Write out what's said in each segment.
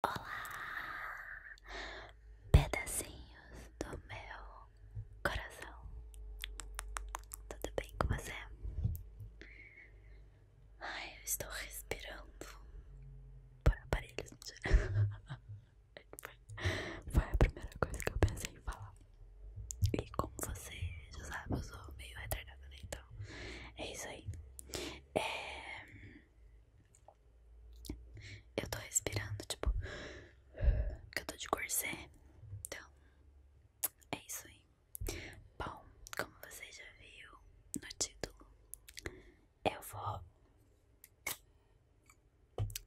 Olá, pedacinhos do meu coração. Tudo bem com você? Ai, eu estou respirando por aparelhos. Foi a primeira coisa que eu pensei em falar. E como você já sabe, eu sou meio retardada, né? Então, é isso aí. É... Eu tô respirando, tipo, que eu tô de corset. Então, é isso aí. Bom, como você já viu no título, eu vou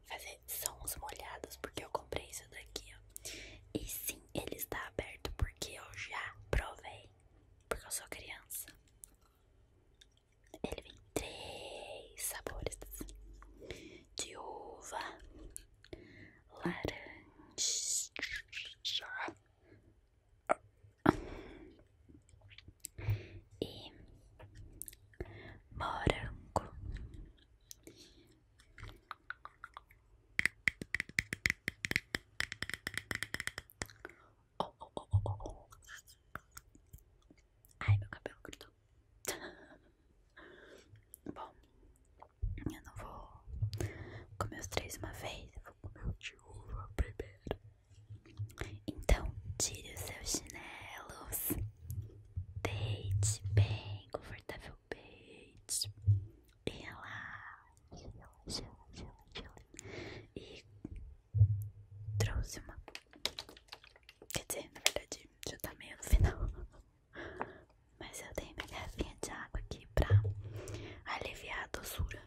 fazer sons molhados, porque eu comprei isso daqui, ó. E sim, ele está aberto, porque eu já provei, porque eu sou criança. Ele vem três sabores assim. de uva, laranja e morango. Oh, oh, oh, oh, Ai, meu cabelo grudou. Bom, eu não vou comer os três uma vez, eu vou comer o de uva primeiro. Então, tire os seus chinelos, deite bem confortável e relaxe, relaxe, relaxe, relaxe. E trouxe uma. Quer dizer, na verdade já tá meio no final. Mas eu dei minha garrafinha de água aqui pra aliviar a doçura.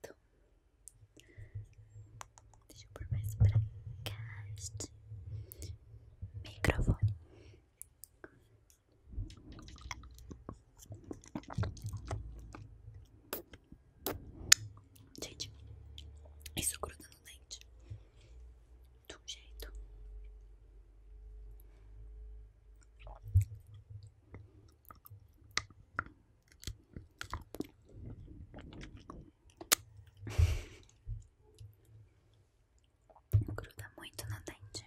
Então, deixa eu pôr mais pra cá microfone. Gente, isso gruda no dente de jeito. Gruda muito no dente.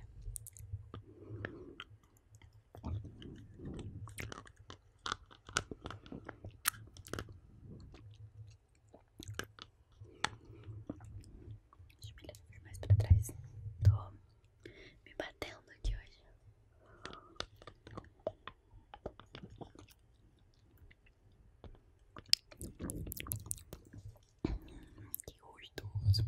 Deixa eu me mais para trás. Tô me batendo aqui hoje. Que gostoso.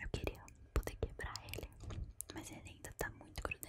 Eu queria poder quebrar ele, mas ele ainda está muito grudento.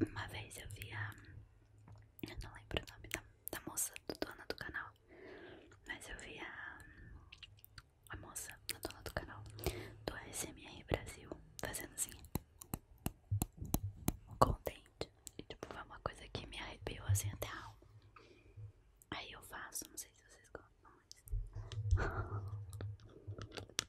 Uma vez eu vi a. Eu não lembro o nome da, da moça, do dona do canal. Mas eu vi a. A moça, a dona do canal, do ASMR Brasil, fazendo assim. Contente. E tipo, foi uma coisa que me arrepiou assim até a alma. Aí eu faço, não sei se vocês gostam,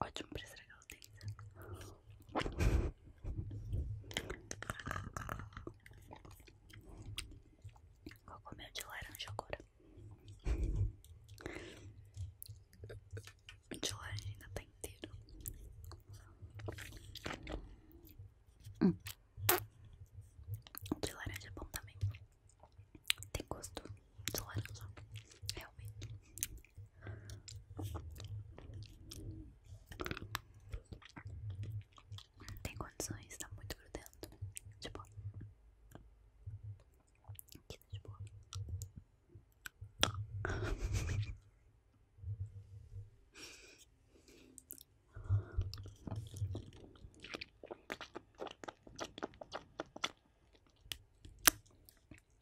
Ótimo pra estragar o dente. Vou comer o de laranja agora. O de laranja ainda tá inteiro. Hum. O de laranja é bom também. Tem gosto do é o Não tem condições, está muito grudento. De boa. Aqui tá de boa.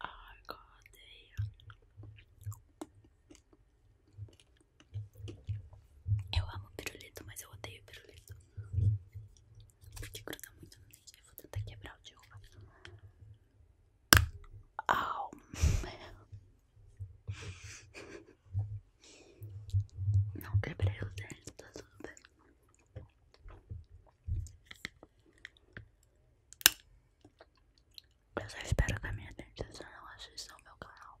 Ai, odeio. Eu amo pirulito, mas eu odeio pirulito. Porque gruda muito no dente. Eu vou tentar quebrar o de uva. Au, meu. Não quebrei é os dentes, tá Eu só espero que a minha dentista não assista ao meu canal.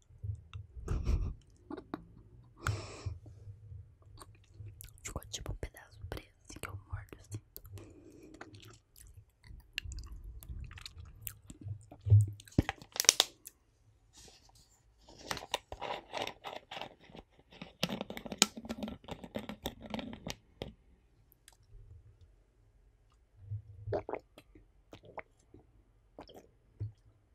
Ficou tipo um pedaço preso assim, que eu mordo assim. É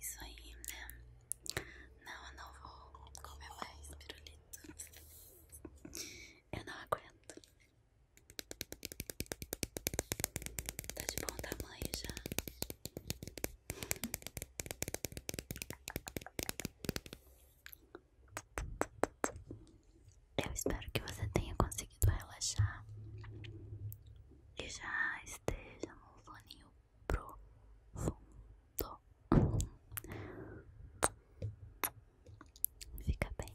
isso aí, né? Não, eu não vou comer mais pirulito. Eu não aguento. Tá de bom tamanho já. Eu espero que você tenha conseguido relaxar e já esteja num soninho profundo. Fica bem.